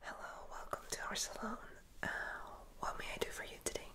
Hello, welcome to our salon. Uh, what may I do for you today?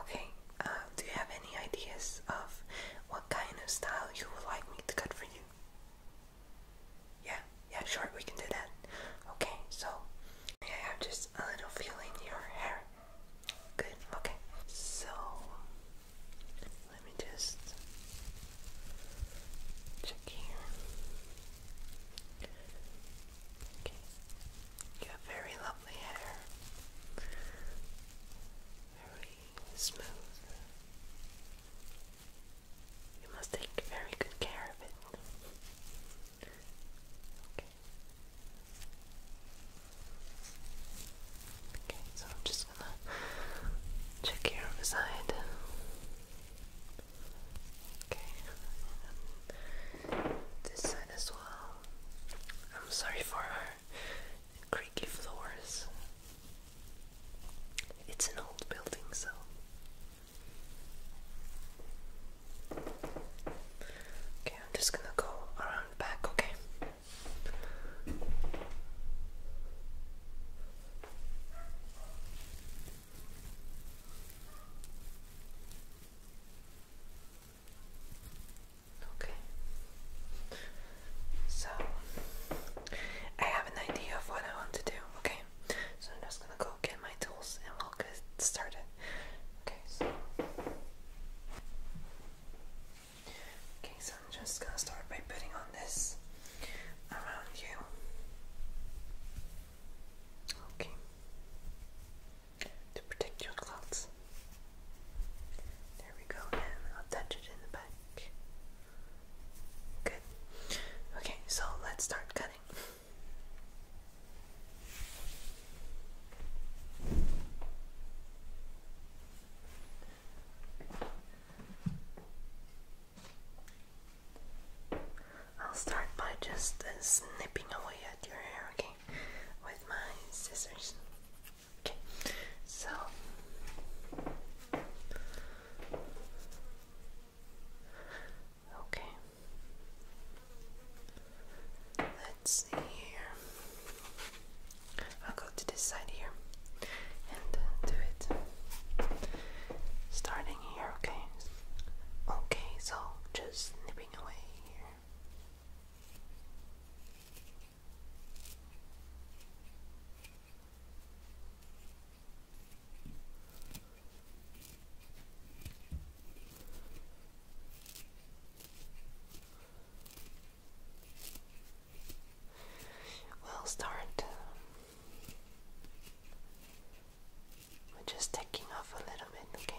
Okay, uh, do you have any ideas of what kind of style you would like me to cut for you? Yeah, yeah, sure, we can do that. Okay, so may I have just a little feel in your hair? Good, okay. So, let me just check here. Okay, you have very lovely hair, very smooth. You must take very good care of it. Okay. so just check here on Okay, this side as well. I'm sorry for creaky floors. It's an old building, so. Okay, I'm just gonna go around back, okay? Okay. So I have an idea of what I want to do, okay? So I'm just gonna go get my tools and we'll get started. Okay, so Okay, so I'm just going to start by putting on this around you. Okay. To protect your clothes. There we go, and I'll touch it in the back. Good. Okay, so let's start cutting. I'll start by just uh, snipping away at your hair, okay? With my scissors. Okay, so okay. Let's see here. I'll go to this side here and uh, do it starting here, okay? Okay, so just nipping away here. we start um, we're just taking off a little bit, okay?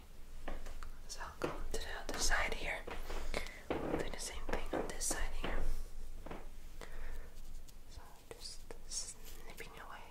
so I'll go to the other side here. do the same thing on this side here. So just snipping away.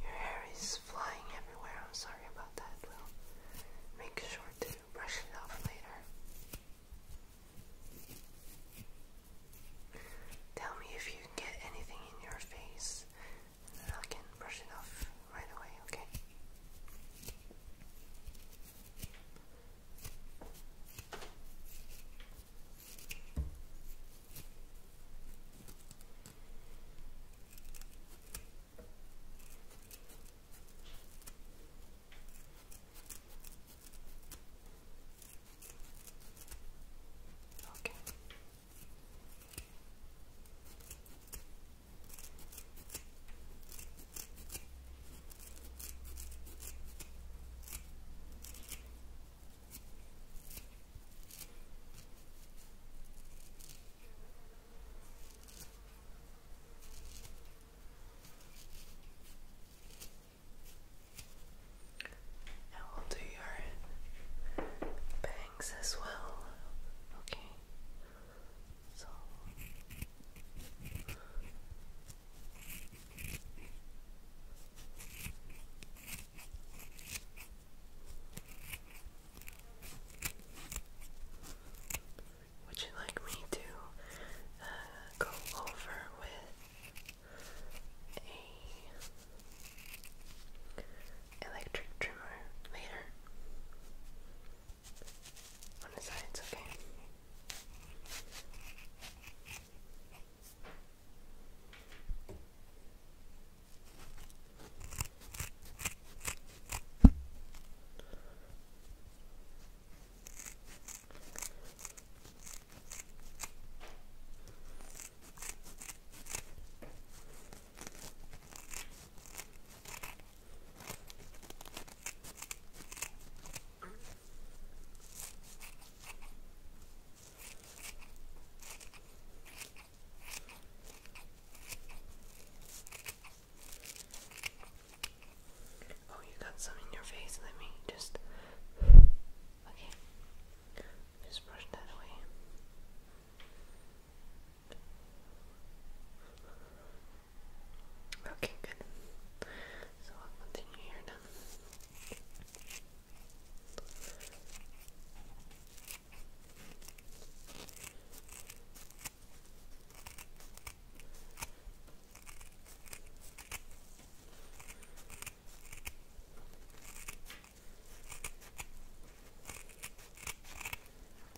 Your hair is flying everywhere. I'm sorry about that. We'll make sure to brush it off later. Tell me if you get anything in your face and I can brush it off right away, okay? Okay. I will do your bangs as well. Okay. So would you like me to uh, go over with a electric trimmer later. On the sides, okay. Oh, you got some in your face. Let me just. Okay. Just brush that away. Okay, good. So I'll continue here now.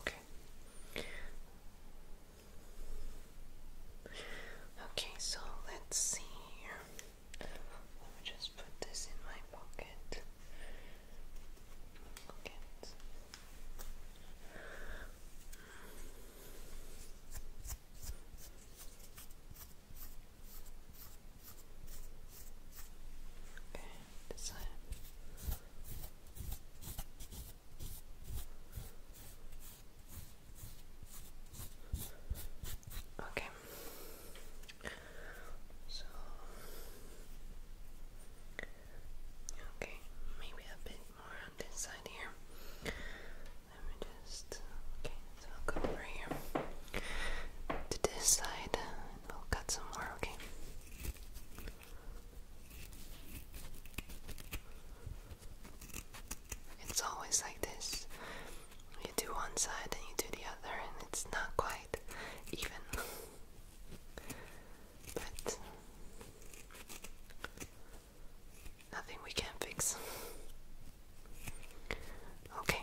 Okay. Okay, so let's see here. Let me just put this in my pocket. Okay, this side. Okay. So Okay, maybe a bit more on this side here. Let me Okay, so I'll go over here to this side and will cut some more, okay? It's always like this. You do one side and you do the other, and it's not quite even. but nothing we can fix. Okay,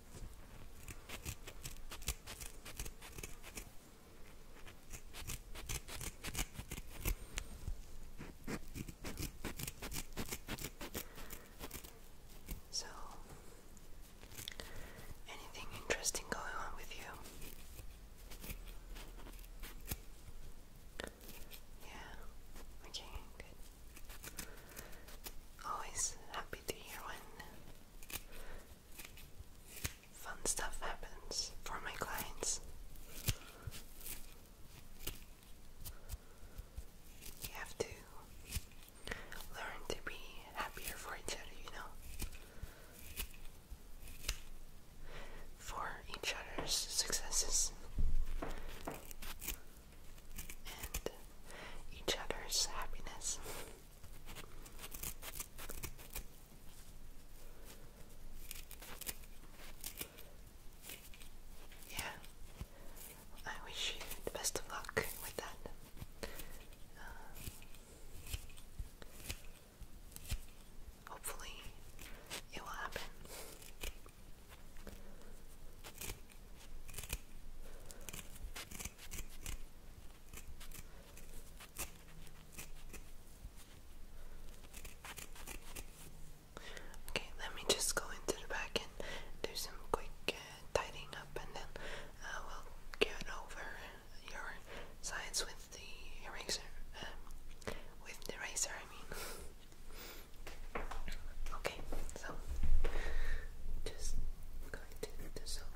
So, anything interesting going on with you? Yeah, okay, good. Always happy to hear when fun stuff happens for my clients. You have to learn to be happier for each other, you know? For each other's successes and each other's happiness. Yeah, I wish you the best of luck with that. Um, hopefully, it will happen. Okay, let me just go into the back and do some quick uh, tidying up, and then I uh, will get over your sides with the eraser. Um, with the eraser, I mean. okay, so just light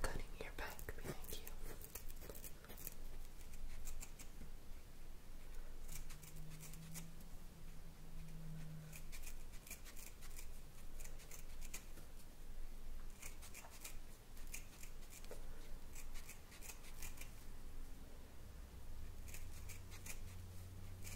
cutting your back behind you.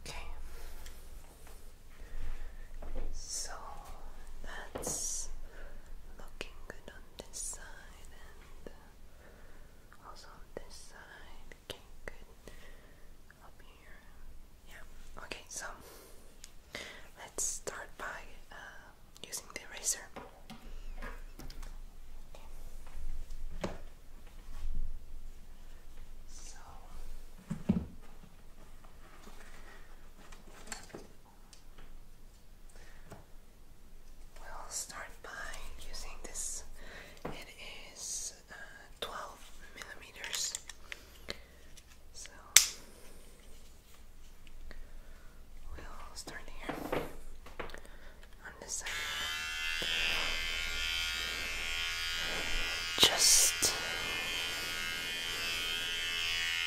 Okay, so that's looking good on this side side and uh, also this side. Okay, good. Up here. Yeah. Okay, so let's start by uh, using the eraser. So. We'll start by using this. It is uh, 12 millimeters. So we'll start here on this side. Just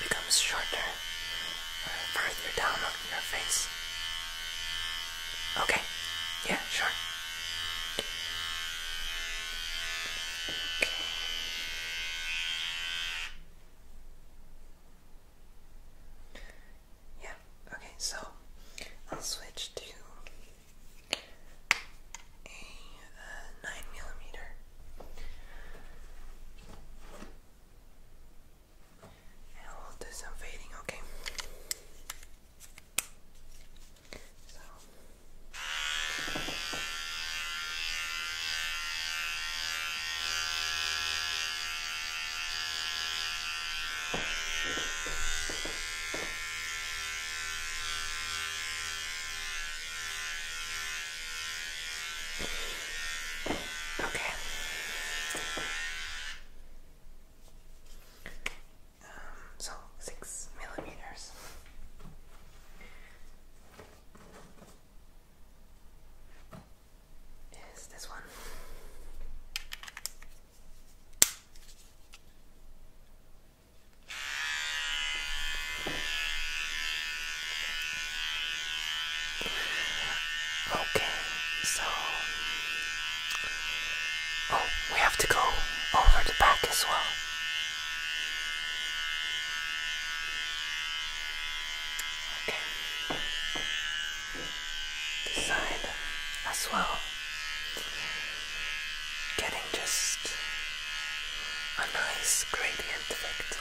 it becomes shorter further down on your face. Okay, yeah, sure. Yeah, okay, so I'll switch to a 9 millimeter and I'll do some fading, okay? Okay. Um, so six millimeters. Is this one? Okay, so oh, we have to go over the back as well. Okay, this side as well. Getting just a nice gradient effect.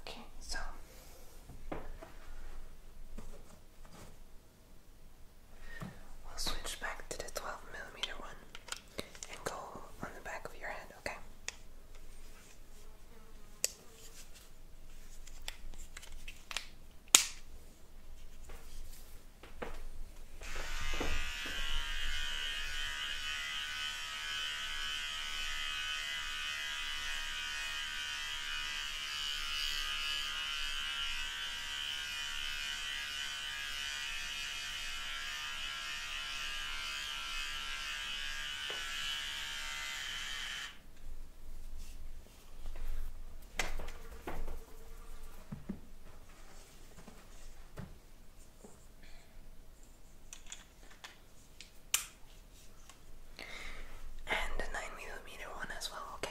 Okay, so we'll switch back to the 12 millimeter one and go on the back of your hand, Okay. And the 9mm one as well, okay.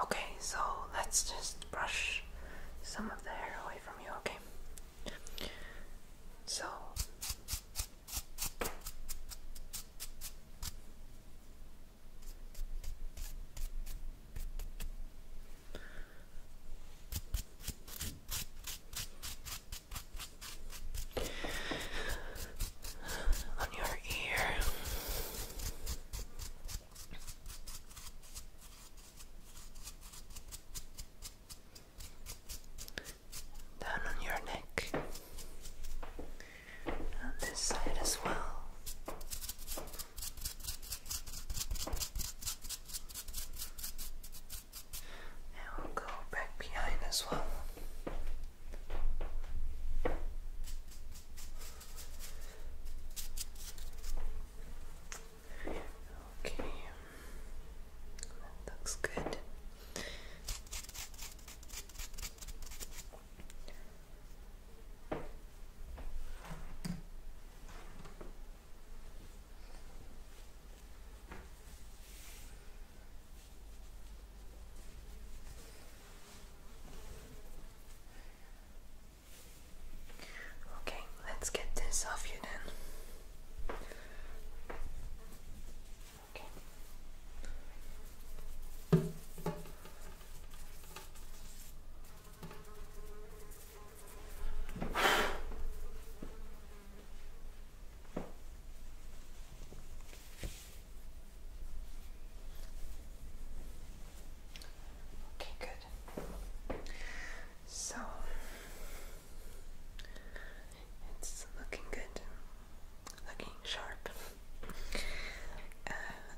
Okay, so let's just brush some of the hair away from you, okay? So. On your ear, down on your neck, on this side as well. And we'll go back behind as well. Okay. That looks good. Okay, let's get this off you then. Okay. Okay, good. So it's looking good, looking sharp. Uh,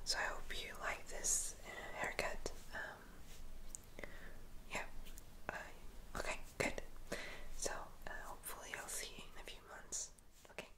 so I hope you like this uh, haircut. Um, yeah. Uh, okay, good. So hopefully I'll see you in a few months. Okay.